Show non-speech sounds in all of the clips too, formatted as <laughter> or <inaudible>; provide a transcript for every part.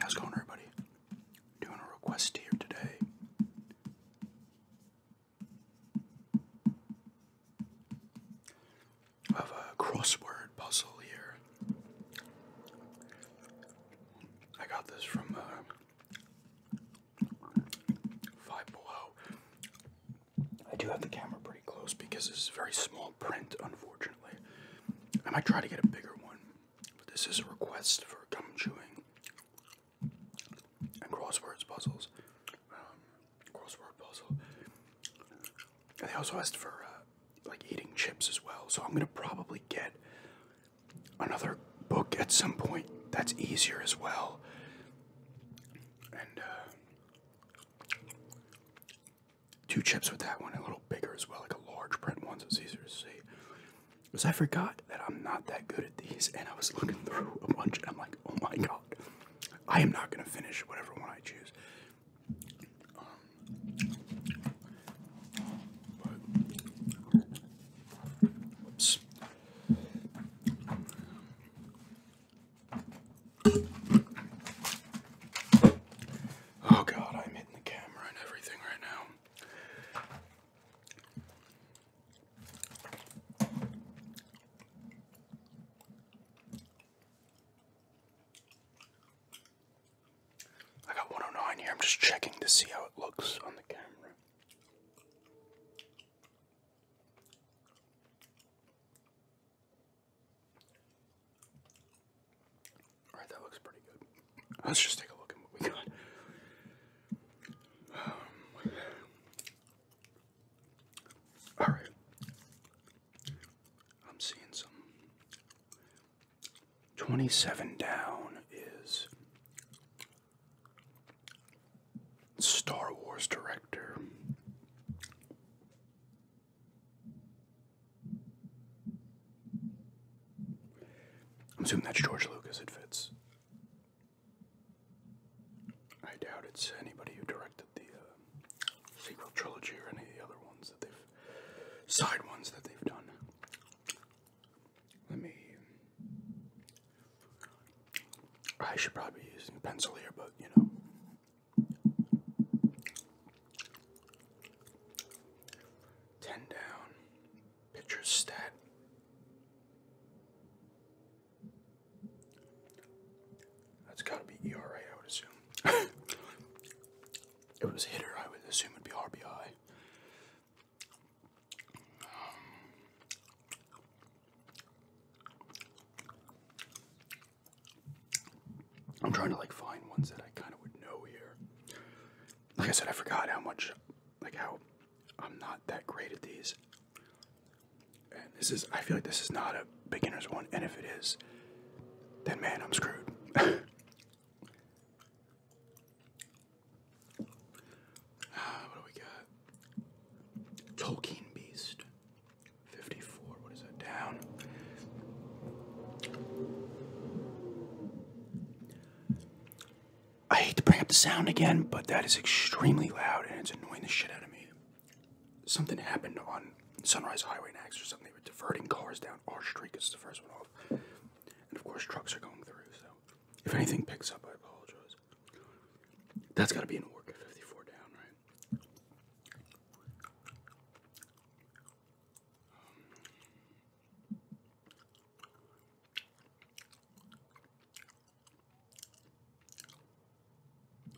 How's it going, everybody? Doing a request here today. have a crossword puzzle here. I got this from uh, Five Below. I do have the camera pretty close because it's very small print, unfortunately. I might try to get a bigger one, but this is a request for gum chewing and crossword puzzles. Um, crossword puzzle. And they also asked for uh, like eating chips as well, so I'm gonna probably get another book at some point that's easier as well. And uh, two chips with that one, a little bigger as well, like a large print one, so it's easier to see. Because I forgot that I'm not that good at these, and I was looking through a bunch, and I'm like, oh my god, I am not gonna finish whatever one I choose. Um, Oh god, I'm hitting the camera and everything right now. I got 109 here. I'm just checking to see how it looks on the camera. All right, that looks pretty good. Let's just take a look at what we got. Um, all right. I'm seeing some. 27 down is Star Wars director I'm assuming that's George Lucas. It fits. I doubt it's anybody who directed the uh, sequel trilogy or any of the other ones that they've side ones that they've done. Let me. I should probably be using a pencil here, but you know, Ten down. Pitcher's stat. That's gotta be ERA, I would assume. <laughs> it was hitter, I would assume it'd be RBI. Um, I'm trying to like find ones that I kind of would know here. Like I said, I forgot how much, like how I'm not that great at these. And this is, I feel like this is not a beginner's one. And if it is, then man, I'm screwed. <laughs> Ah, what do we got? Tolkien Beast. 54, what is that, down? I hate to bring up the sound again, but that is extremely loud and it's annoying the shit out of me. Something happened on Sunrise Highway next or something. They were diverting cars down our street because the first one off. And of course, trucks are going through, so if anything picks up, I apologize. That's gotta be an Orca 54 down, right?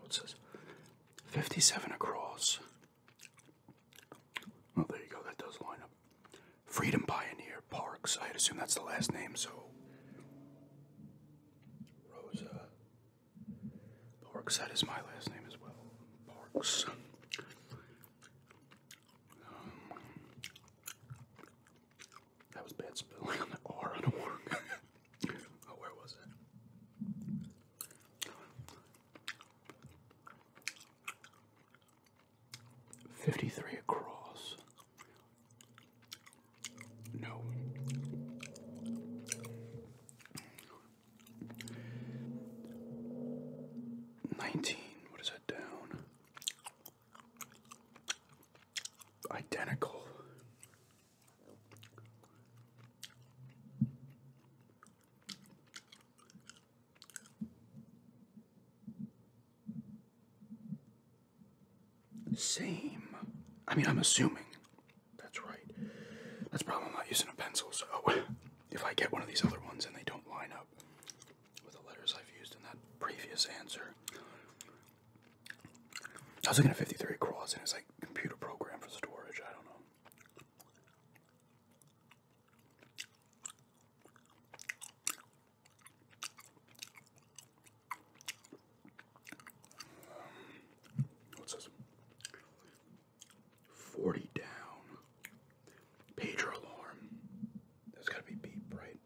What's this? 57 across. Well, there you go. That does line up. Freedom Pioneer Parks. I'd assume that's the last name, so. Rosa Parks, that is my last name as well. Parks. Um, that was bad spelling on the R on the work. <laughs> oh, where was it? Fifty-three across. No. 19. What is that down? Identical. Same. I mean, I'm assuming that's right. That's probably not using a pencil, so <laughs> if I get one of these other ones and they don't line up with the letters I've used in that previous answer. I was looking at 53 across and it's like computer program for storage, I don't know. Um, what's this? 40 down. Pager alarm. There's gotta be beep, right?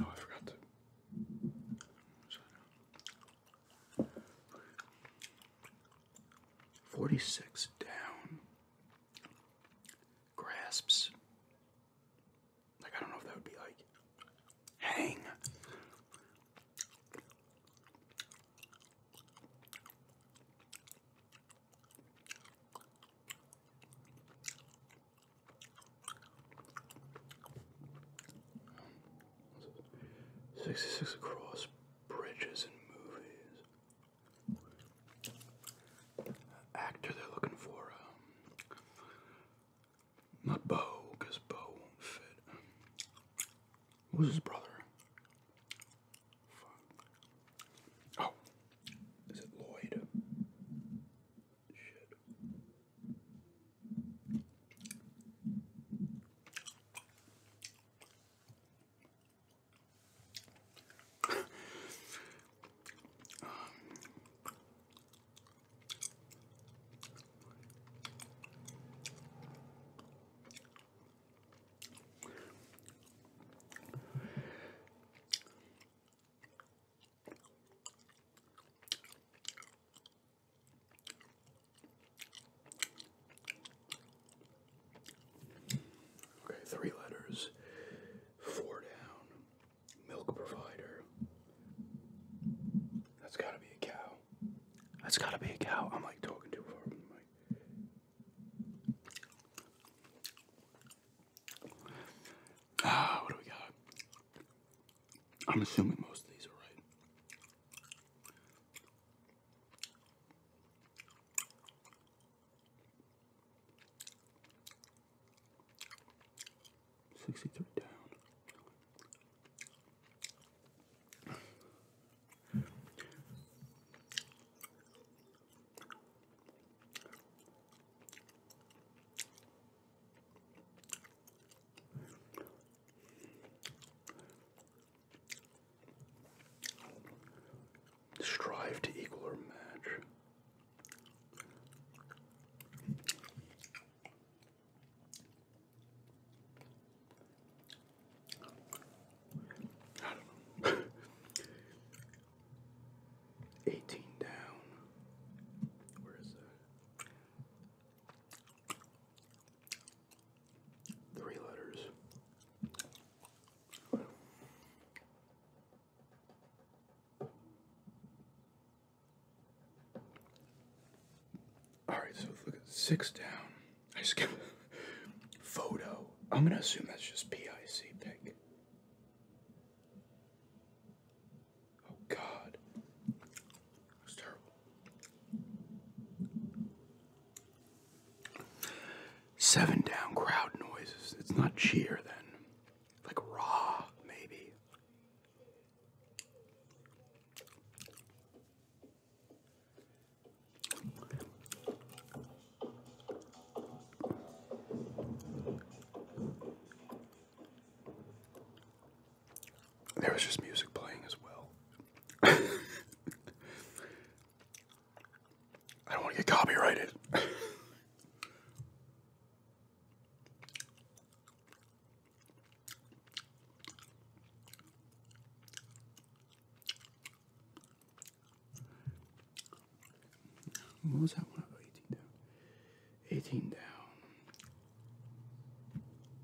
Oh, I forgot Forty six down grasps like, I don't know if that would be like hang. Sixty six across bridges and movies. Actor they're looking for. Um, not Bo, because Bo won't fit. Who's his brother? Oh. Is it Lloyd? Shit. Okay, three letters, four down, milk provider, that's gotta be a cow. That's gotta be a cow. I'm like talking too far from the mic. Ah, what do we got? I'm assuming most of these are right. 63 down. Strive to equal or match. 18 down. Where is that? Three letters. All right, so look at six down. I skip <laughs> photo. I'm gonna assume that's just PIC pic. Oh God, that's terrible. Seven down crowd noises. It's not cheer then, like raw maybe. There was just music playing as well. <laughs> I don't want to get copyrighted. <laughs> What was that one? 18 down. 18 down.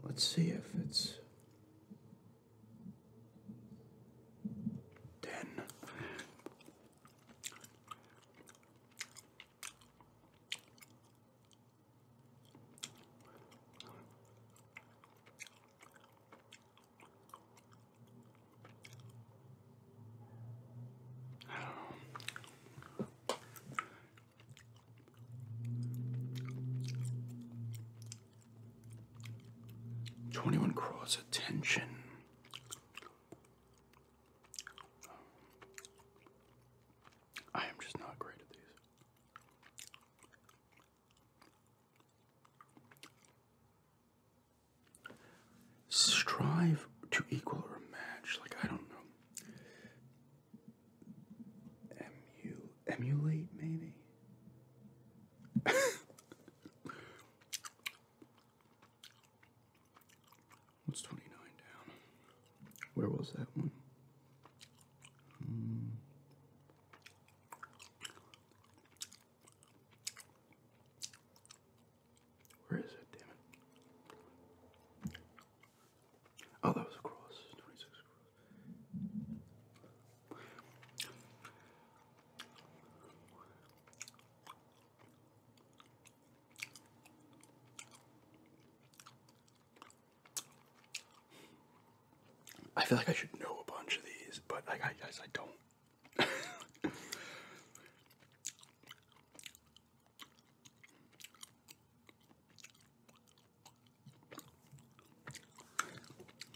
Let's see if it's 10. Twenty one cross attention. I am just not great at these. Strive to equal or match. Like, I don't know. emulate, maybe? <laughs> What's 29 down? Where was that one? Hmm. Where is it? Damn it! Oh, that was a Twenty-six I feel like I should know a bunch of these, but I, I guess I don't.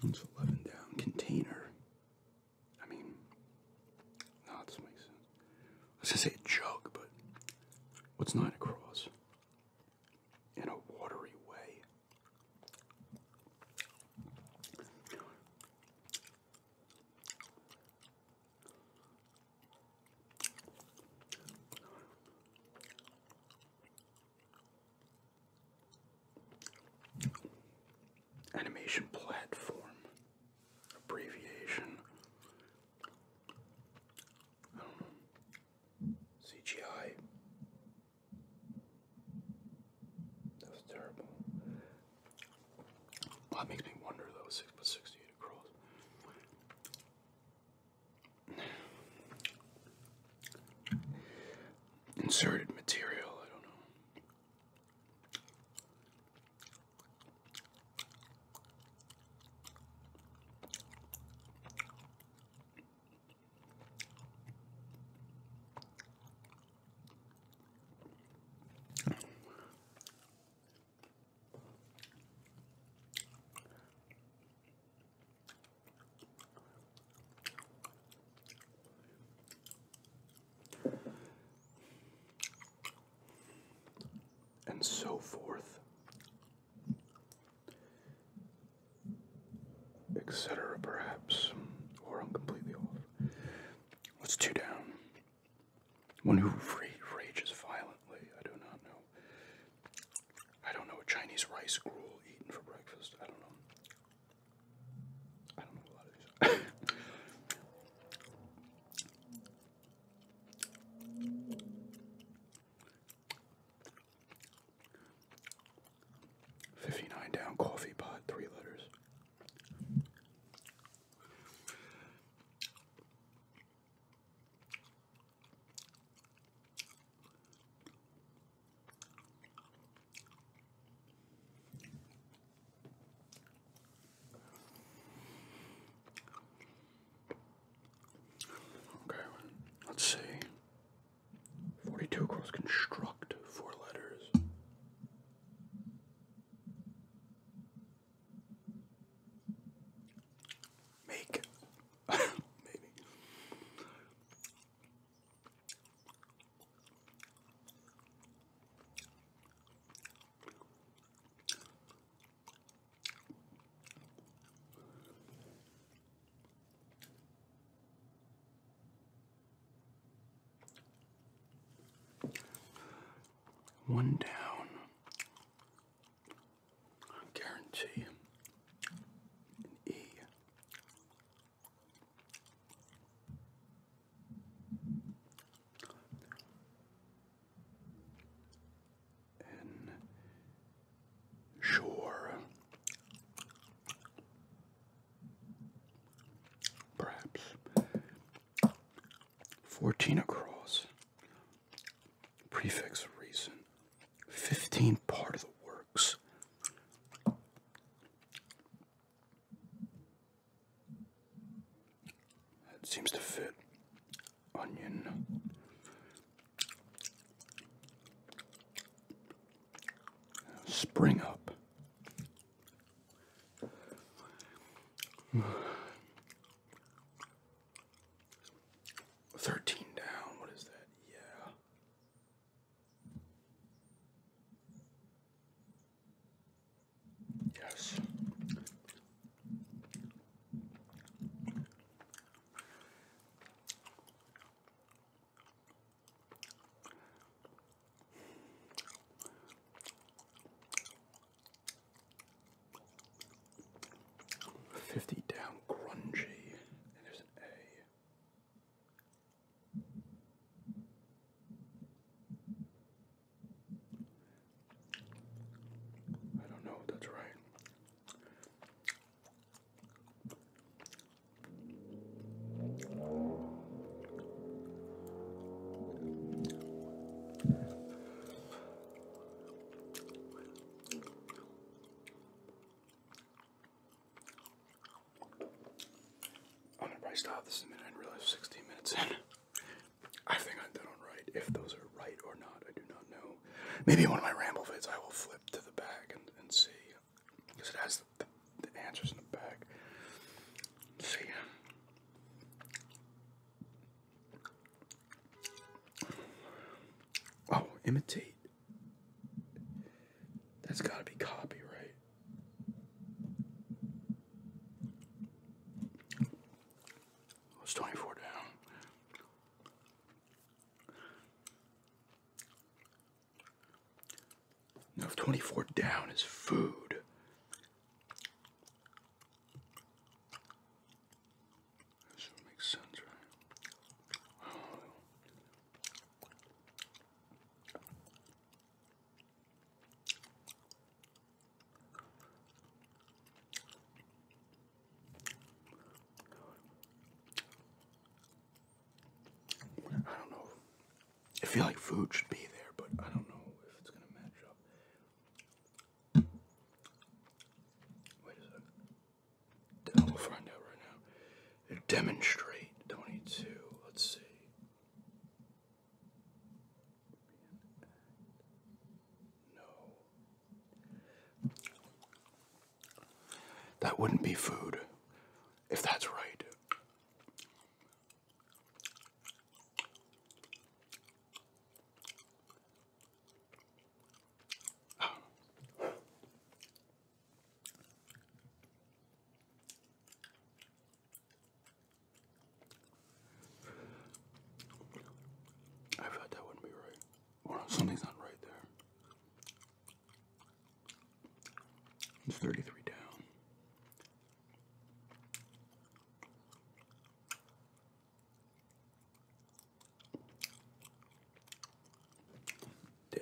It's 11 down. Container. I mean, no, this makes sense. was going say jug, but what's 9 across? in a watery way. Animation platform abbreviation. I CGI. That terrible. That makes me wonder though, six plus sixty-eight across. Inserted material, I don't know and so forth etc., perhaps, or I'm completely off. What's two down? One who rages violently. I do not know. I don't know. Chinese rice gruel eaten for breakfast. I don't know. I don't know a lot of these. 59 down coffee pot, three letters. Okay, let's see. 42 across construct, four letters. Make. <laughs> Maybe. One down. guarantee an E sure, perhaps fourteen across, prefix reason, fifteen part of the works. That seems to fit. Onion, spring up. Thirteen down, what is that? Yeah. Yes. Fifty down grungy, there's an A. I don't know if that's right. I'm gonna probably stop this in a minute and realize 16 minutes in. I think i am done it right. If those are right or not, I do not know. Maybe in one of my ramble vids I will flip to the back and see, because it has the, answers in the back. See, oh, imitate. That's got to be copyright. It's 24 down. Now, 24 down is food, this would make sense, right? I don't know. I feel like food should be there, but I don't know if it's gonna match up. Wait a 2nd Demonstrate 22. Let's see. No. That wouldn't be food, if that's right. <sighs> I thought that wouldn't be right. something's not right there. It's 33 down.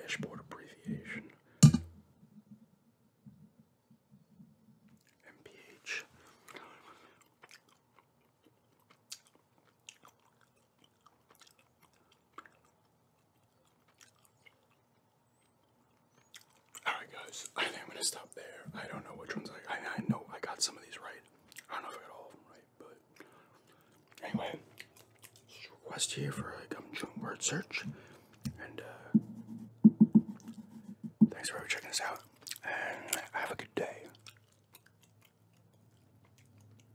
Dashboard abbreviation. MPH. Alright, guys, I think I'm gonna stop there. I don't know which ones I, I, know I got some of these right. I don't know if I got all of them right, but anyway, request here for a gum chewing word search, and uh, thanks for checking this out, and have a good day.